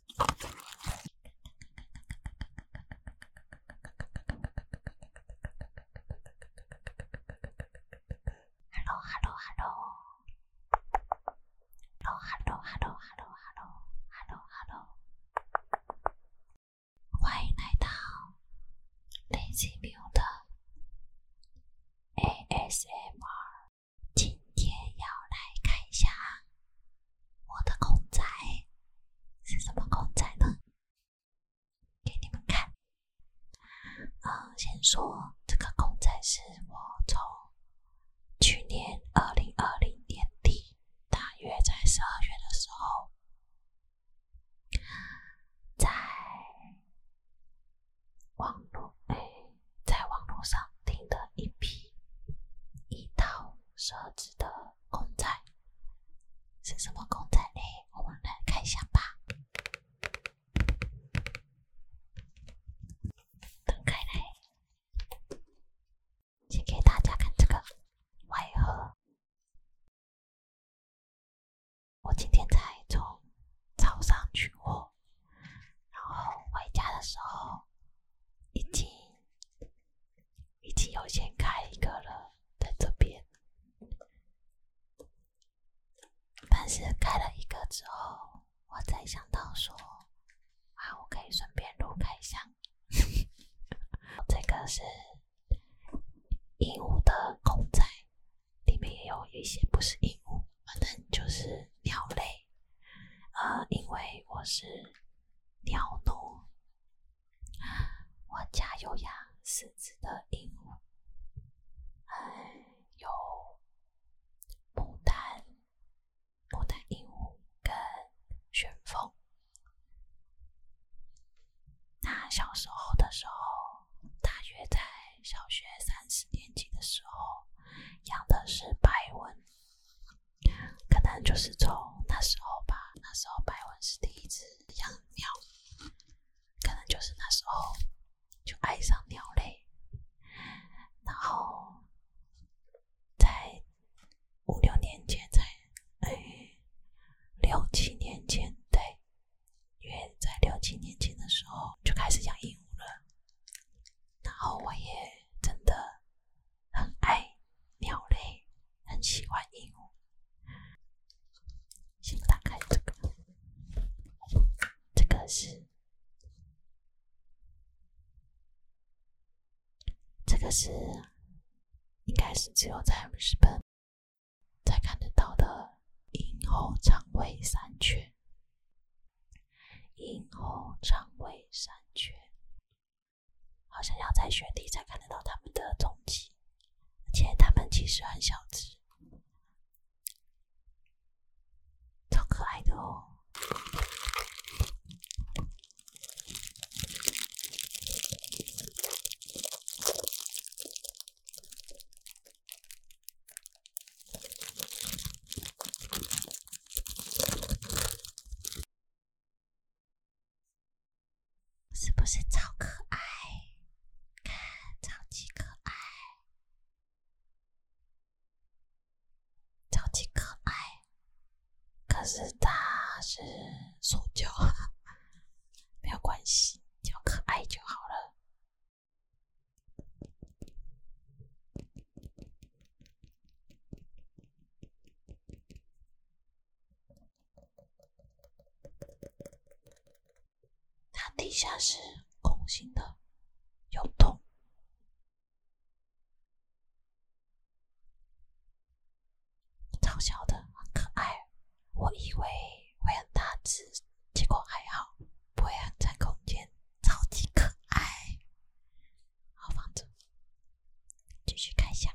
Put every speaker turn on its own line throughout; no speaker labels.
Hello, hello, hello, hello, hello, hello, hello, hello, hello, hello, hello, hello. 欢迎来到 Lazy 喵的 ASMR，今天要来看一下。我的公仔是什么公仔呢？给你们看。呃，先说这个公仔是我从去年二零二零年底，大约在十二月的时候，在网络哎，在网络上订的一批一套设置的。公仔是什么公仔嘞？我们来看一下吧。打开来，先给大家看这个外盒。我今天才从早上取货，然后回家的时候已经。已经有先开一个了，在这边。但是开了一个之后，我才想到说，啊，我可以顺便录开箱。这个是鹦鹉的公仔，里面也有一些不是鹦鹉，反正就是鸟类。呃，因为我是鸟奴。我家有养四只的鹦鹉，还有牡丹牡丹鹦鹉跟旋风。那小时候的时候，大约在小学三四年级的时候，养的是白文。可能就是从那时候吧，那时候白文是第一只养鸟，可能就是那时候就爱上鸟类，然后在五六年前在六七年前对，约在六七年前的时候就开始养鹦鹉了，然后我也真的。很爱鸟类，很喜欢鹦鹉。先打开这个，这个是，这个是，应该是只有在日本才看得到的《鹦鹉长尾山雀》，《鹦鹉长尾山雀》。好像要在雪地才看得到他们的踪迹，而且他们其实很小只，超可爱的哦！是不是超可爱？看，超级可爱，超级可爱。可是它是塑胶，没有关系，叫可爱就好了。它底下是空心的，有洞，超小的，很可爱。我以为会很大只，结果还好，不会很占空间，超级可爱，好房子。继续看一下。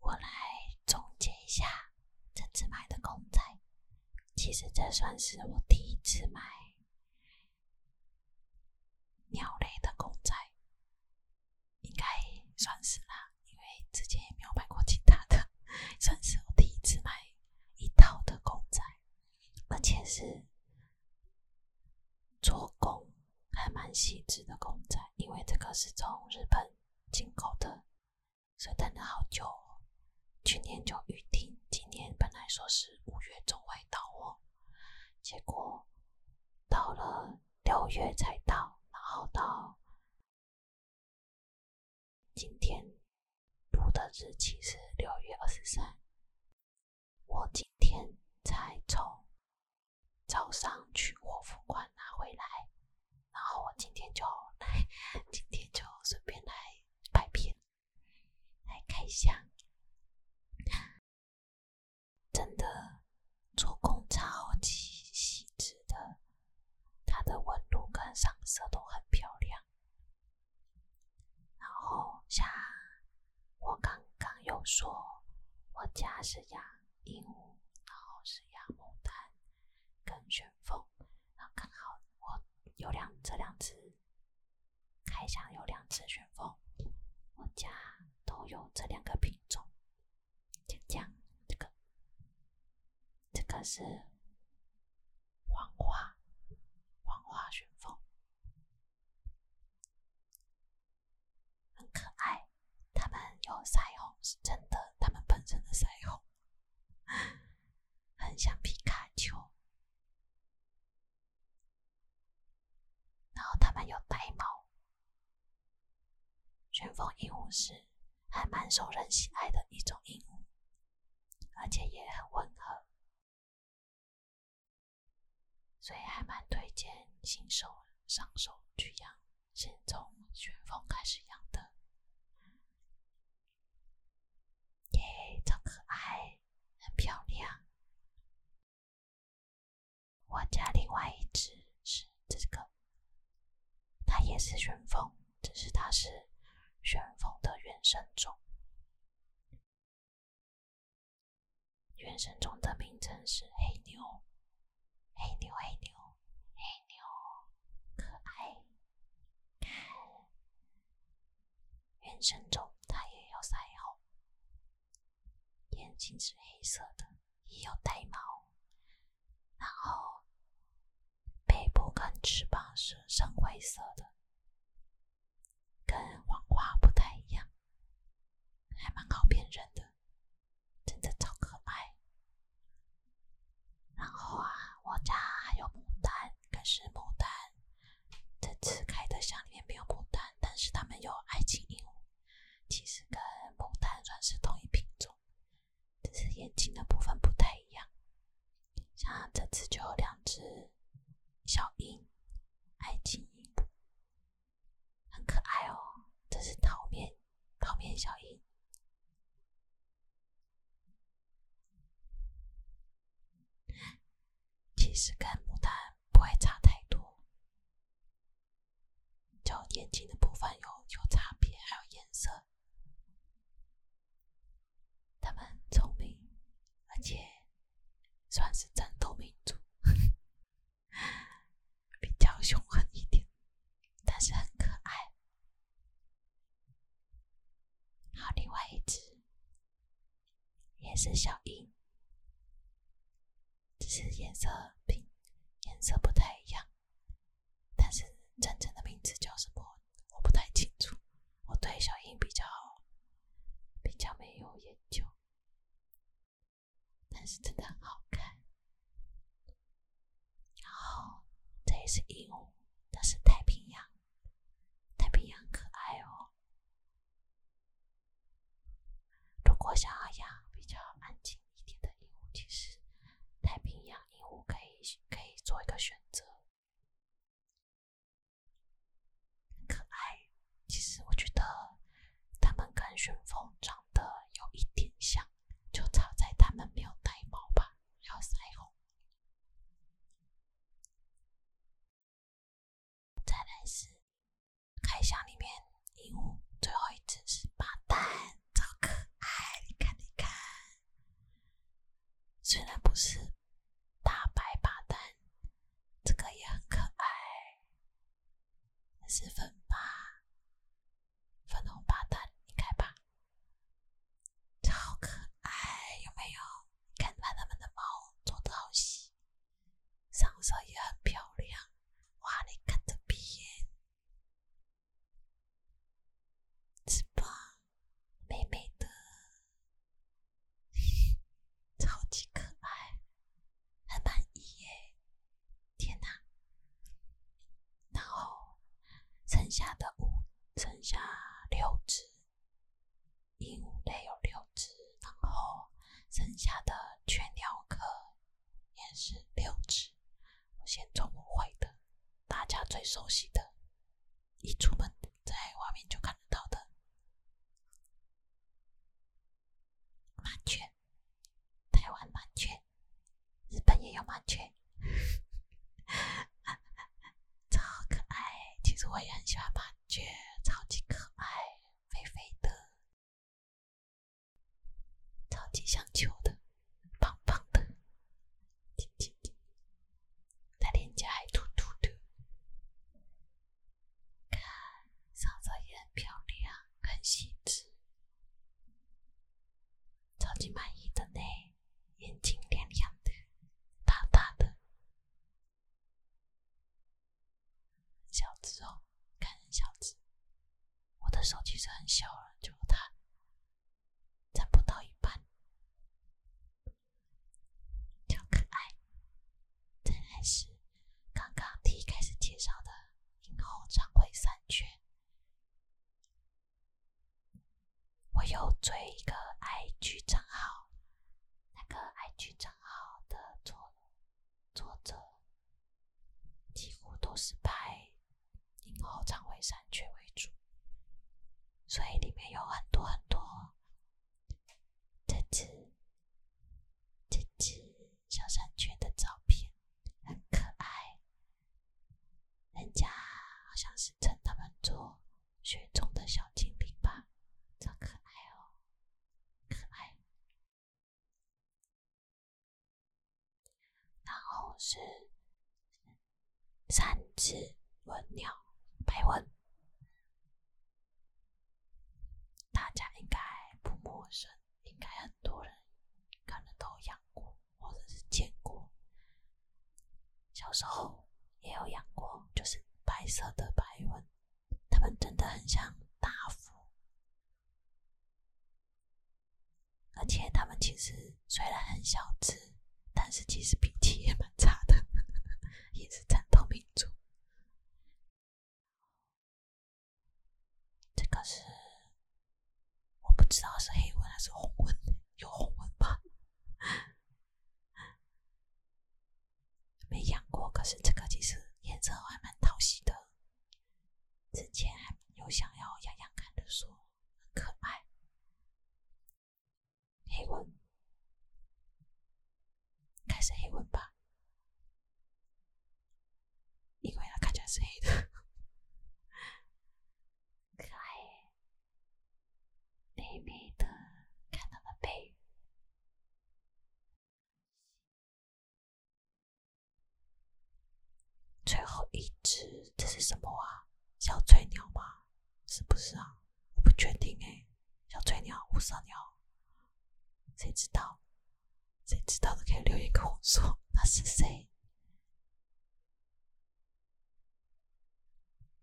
我来总结一下这次买的公仔，其实这算是我第一次买鸟类的公仔，应该算是啦。因为之前也没有买过其他的，算是我第一次买一套的公仔，而且是做工还蛮细致的公仔，因为这个是从日本进口的，所以等了好久，去年就预定，今年本来说是五月中会到货，结果到了六月才到，然后到。今天录的日期是六月二十三。我今天才从早上取货付款拿回来，然后我今天就来，今天就顺便来拍片，来开箱。真的做工超级细致的。它的纹路跟上色都很漂亮，然后像我刚刚有说，我家是养鹦鹉，然后是养牡丹跟旋风，然后刚好我有两这两只，开箱有两只旋风，我家都有这两个品种，就这样，这个。这个是黄花黄花旋风，很可爱。它们有腮红，是真的，它们喷身的腮红，很像皮卡丘。然后它们有白毛，旋风鹦鹉是还蛮受人喜爱的一种鹦鹉。而且也很温和，所以还蛮推荐新手上手去养，先从旋风开始养的。耶，超可爱，很漂亮。我家另外一只是这个。它也是旋风，只是它是旋风的原生种。原生种的名称是黑牛，黑牛，黑牛，黑牛，可爱。看，原生种它也有腮红，眼睛是黑色的，也有带毛，然后。背部跟翅膀是深灰色的，跟黄瓜不太一样，还蛮好辨认的，真的超可爱。然后啊，我家还有牡丹，可是牡丹这次开的像面没有牡丹，但是他们有爱情鹦鹉，其实跟牡丹算是同一品种。只是眼睛的部分不太一样，像这只就有两只小鹰，爱情很可爱哦。这是桃面桃面小鹰，其实跟牡丹不会差太多，就眼睛的部分有有差别，还有颜色。他们很聪明，而且算是战斗民族，比较凶狠一点，但是很可爱。好，另外一只也是小鹰，只是颜色品颜色不太一样。但是真正的名字叫什么，我不太清楚。我对小英比较好，比较没有研究。但是真的很好看。然后这也是鹦鹉，那是太平洋，太平洋可爱哦。如果想要养比较安静一点的鹦鹉，其实太平洋。鹦鹉可以可以做一个选择，可爱。其实我觉得它们跟旋风长得有一点像，就差在它们没有带毛吧，还有腮红。再来是开箱里面鹦鹉最后一只是八蛋。超可爱，你看你看，虽然不是大白吧，但这个也很可爱，是粉吧，粉红吧，蛋，你看吧，超可爱，有没有？你看把他们的毛做的好细，上色也很漂亮，哇，你看这边。翅膀美美的，超级可爱，很满意耶！天呐，然后剩下的五、剩下六只鹦鹉类有六只，然后剩下的全鸟壳也是六只。先从我坏的，大家最熟悉的，一出门在外面就看得到的麻雀。台湾麻雀，日本也有麻雀，超可爱。其实我也很喜欢麻雀，超级可爱，肥肥的，超级像球的。胖胖的，金金金，那脸颊还凸凸的，看，上色也很漂亮，很细致，超级满意的呢，眼睛亮亮的，大大的，小只哦，看，小只，我的手其实很小了，就它。占不到一半，超可爱，真的是刚刚第一开始介绍的《樱红长会山雀》，我有追一个 IG 账号，那个 IG 账号的作作者几乎都是白。然后，长尾山雀为主，所以里面有很多很多这只、这只小山雀的照片，很可爱。人家好像是称他们做“雪中的小精灵”吧，超可爱哦，可爱。然后是。三只文鸟白文，大家应该不陌生，应该很多人可能都养过或者是见过。小时候也有养过，就是白色的白文，它们真的很像大福。而且他们其实虽然很小只，但是其实脾气也蛮差的，也是战斗民族。这个是我不知道是黑纹还是红纹，有红纹吧？没养过，可是这个其实颜色还蛮讨喜的。之前还有想要养养看的说可爱。黑纹，开始黑纹吧，因为它看起来是黑的，可爱，美美的，看到了背，最后一只，这是什么啊？小翠鸟吗？是不是啊？我不确定哎，小翠鸟、五色鸟，谁知道？谁知道的可以留言跟我说。那是谁？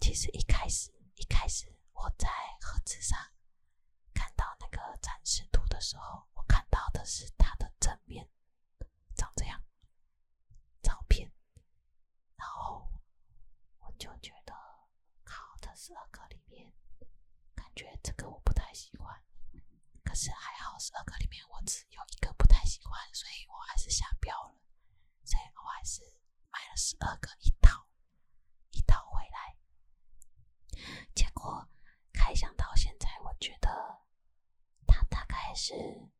其实一开始，一开始我在盒子上看到那个展示图的时候，我看到的是它的正面，长这样照片。然后我就觉得，好，这十二个里面，感觉这个我不太喜欢。可是还好，十二个里面我只有一个不太喜欢，所以我还是下标了，所以我还是买了十二个一套，一套回来。结果开箱到现在，我觉得它大概是。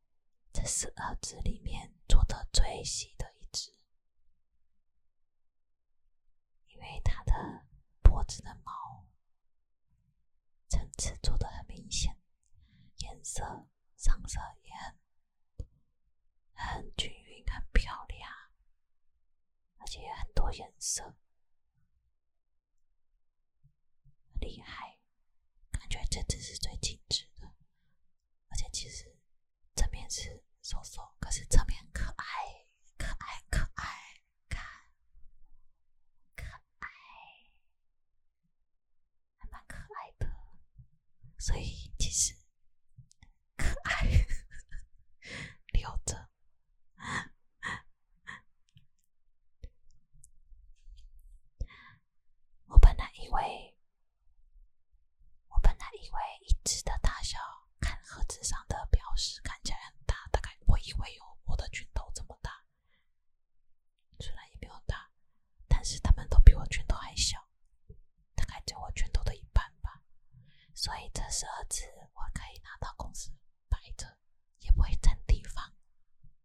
这是二只里面做的最细的一只，因为它的脖子的毛层次做的很明显，颜色上色也很很均匀、很漂亮，而且很多颜色，厉害。感觉这只是最精致的，而且其实正面是瘦瘦，可是侧面可爱，可爱可爱，看，可爱，还蛮可爱的，所以其实可爱，留着。我本来以为，我本来以为一只的大小，看盒子上的标识，看起来很大，大概我以为有我的拳头这么大。虽然也没有大，但是他们都比我拳头还小，大概只有我拳头的一半吧。所以这十二只我可以拿到公司摆着，也不会占地方。